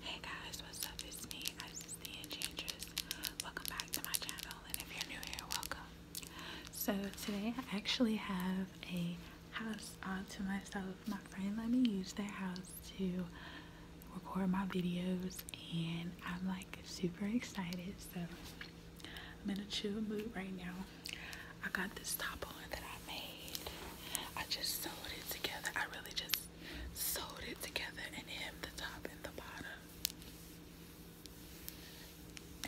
Hey guys, what's up? It's me, the Enchantress. Welcome back to my channel, and if you're new here, welcome. So today I actually have a house all to myself. My friend let me use their house to record my videos, and I'm like super excited. So I'm in a chill mood right now. I got this top on that I made. I just sewed it together. I really just sewed it together and hemmed the top and the bottom.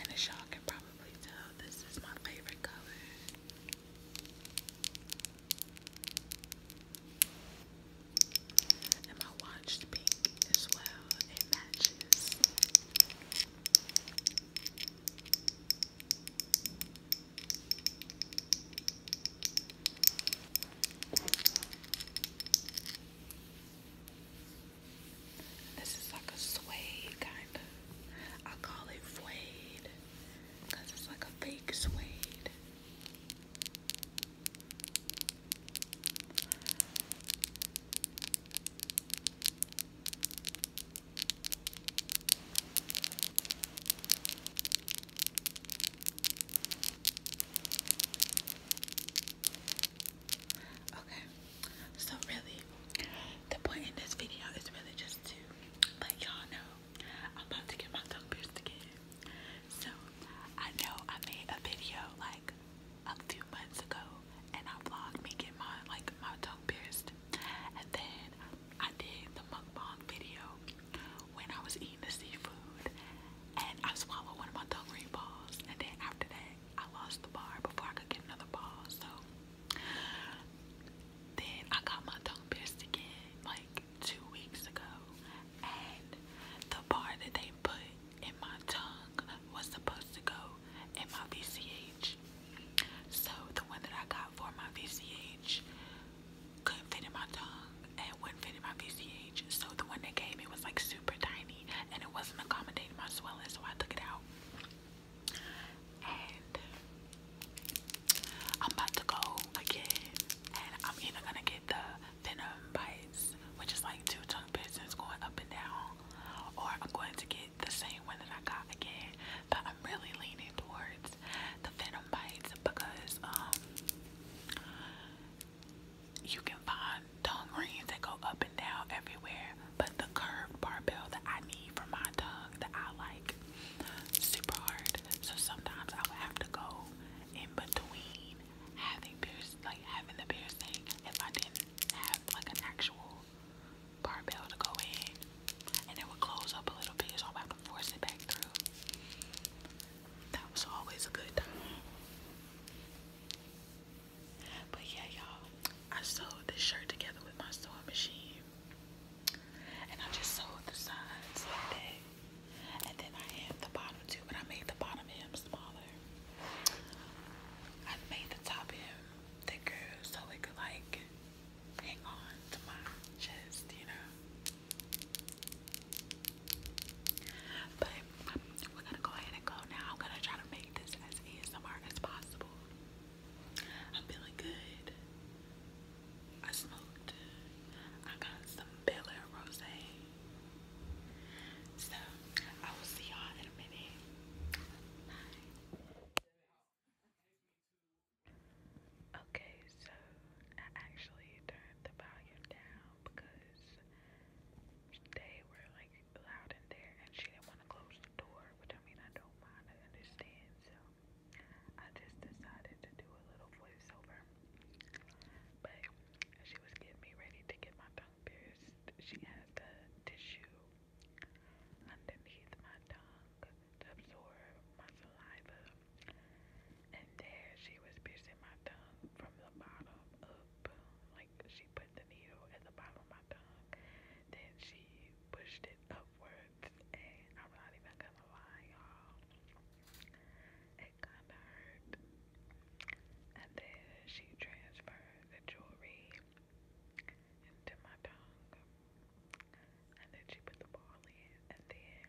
And the you can probably tell, this is my favorite color. And my watched pink as well. It matches. This is like a suede kind of. I call it suede because it's like a fake suede. Okay, so really, the point in this video is really just to let y'all know I'm about to get my tongue pierced again. So, I know I made a video like a few months ago and I vlogged me getting my like my tongue pierced, and then I did the mukbang video when I was eating the seafood and I swallowed one of my tongue ring balls and then after that I lost the bar before I could get another ball so then I got my tongue pierced again like two weeks ago and the bar that they put in my tongue was supposed to go in my VCH so the one that I got for my VCH couldn't fit in my tongue and wouldn't fit in my VCH. So the one they gave me was like super tiny and it wasn't accommodating my swelling, so I took it out. And I'm about to go again, and I'm either gonna get the venom bites, which is like two tongue piercings going up and down, or I'm going to get the same one that I got again. But I'm really leaning towards the venom bites because um you can find tongue rings that go up and down everywhere, but the curved barbell that I need for my tongue that I like super hard. So sometimes I would have to go in between having piercing, like having the piercing, if I didn't have like an actual barbell to go in, and it would close up a little bit, so I would have force it back through. That was always a good time. But yeah, y'all, I sewed this shirt together with my sewing machine. And I just sewed the sides like that. And then I hemmed the bottom too, but I made the bottom hem smaller. I made the top hem thicker so it could like hang on to my you know. But we're gonna go ahead and go now. I'm gonna try to make this as easy as possible. I'm feeling good. I smoked. I got some Bella Air Rosé. So I will see y'all in a minute. Bye. Okay, so I actually turned the volume down because they were like loud in there and she didn't want to close the door, which I mean, I don't mind, I understand. So I just decided to do a little voiceover. But she was getting me ready to get my tongue pierced. She had the tissue underneath my tongue to absorb my saliva. And there she was piercing my tongue from the bottom up. Like she put the needle at the bottom of my tongue. Then she pushed it upwards. And I'm not even gonna lie, y'all. It kinda hurt. And then she transferred the jewelry into my tongue. And then she put the ball in. And then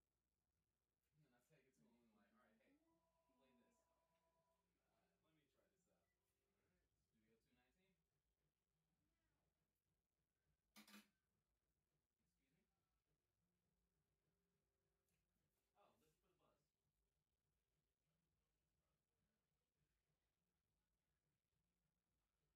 And that's how you get to him, like, all right, hey, play this. Uh, let me try this out. Studio 219? Excuse me? Oh, listen for the buzz.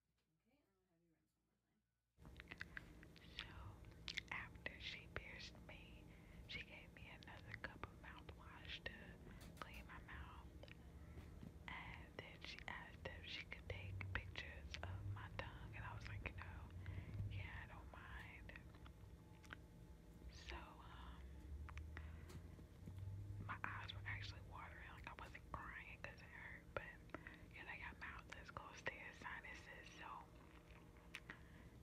So, after she pierced me, she gave me another cup of mouthwash to clean my mouth. And then she asked if she could take pictures of my tongue, and I was like, you yeah, I don't mind. So, um, my eyes were actually watering. Like I wasn't crying because it hurt, but you I got mouthless, close to his sinuses, so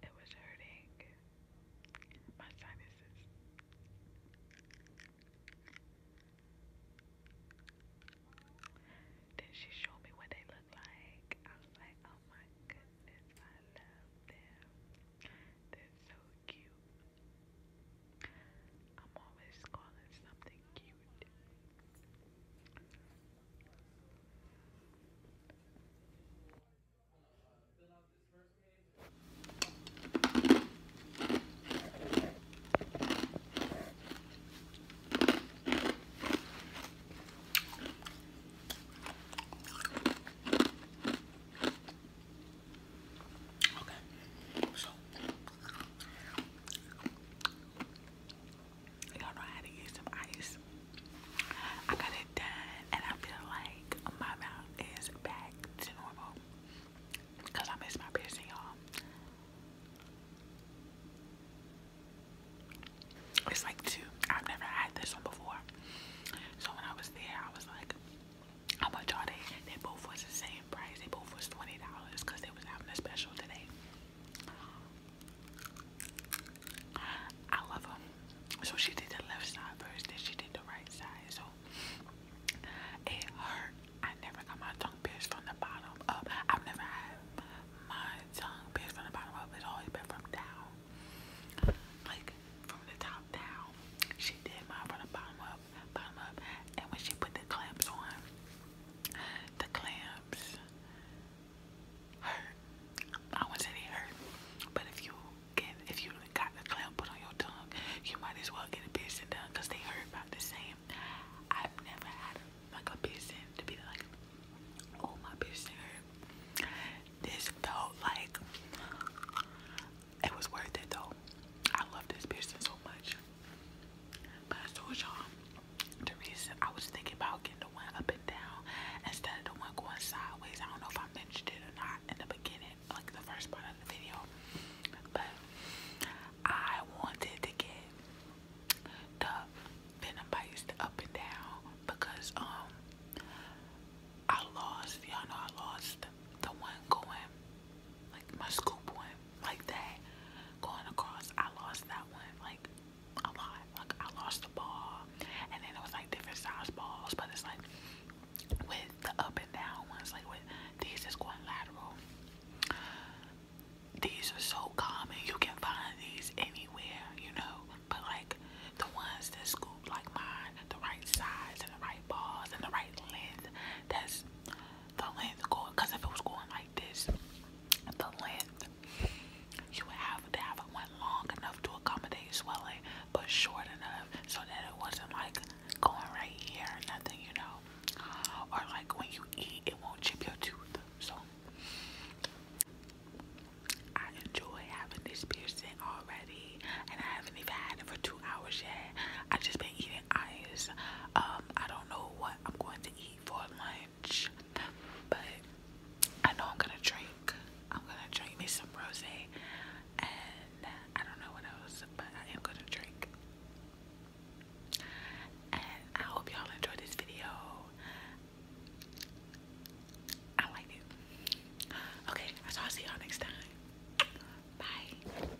it was hurting my sinuses. Then she showed me what they look like. I was like, oh my goodness, I love them. They're so cute. I'm always calling something cute. Okay, so y'all know how to use some ice. I got it done, and I feel like my mouth is back to normal because I miss my piercing, y'all. It's like two. I've never had this one before. So when I was there, I was like, how much are they? They both was the same price. They both was $20 because they was having a special today. I love them. So she did the left side first, then she did the right side. So it hurt. I never got my tongue pierced from the bottom up. I've never had my tongue pierced from the bottom up. It always been from down. Like from the top down. She did mine from the bottom up up, up. And when she put the clamps on, the clamps hurt. I wouldn't hurt, but if you get, if you got the clamp put on your tongue, you might as well get a piercing done because they hurt about the same. I've never had like a piercing to be like, oh my piercing This felt like it was worth it though. I love this piercing so much. But I told y'all the reason I was thinking about getting the one up and down instead of the one going sideways. I don't know if I mentioned it or not in the beginning, like the first part of the video. But I wanted to get the venom bites up and down because um I lost y'all know I lost the one going like my scoop one, like that, going across. I lost that one, like a lot. Like I lost the ball, and then it was like different size balls, but it's like with the up and down ones, like with these is going lateral. These are so common, you can find these anywhere, you know. But like the ones that scoop like mine, the right size and the right balls and the right length, that's the length going because if it was going like this, the length you would have to have it went long enough to accommodate swelling, but short enough so that it wasn't like going right here or nothing, you know. Or like when you eat, it won't chip your tooth. So I enjoy having this piercing already, and I haven't even had it for two hours yet. I just been eating ice. Um, I don't know what I'm going to eat for lunch, but I know I'm gonna drink. I'm gonna drink me some rosé, and I don't know what else, but I am gonna drink. And I hope y'all enjoyed this video. I liked it. Okay, so I'll see y'all next time. Bye.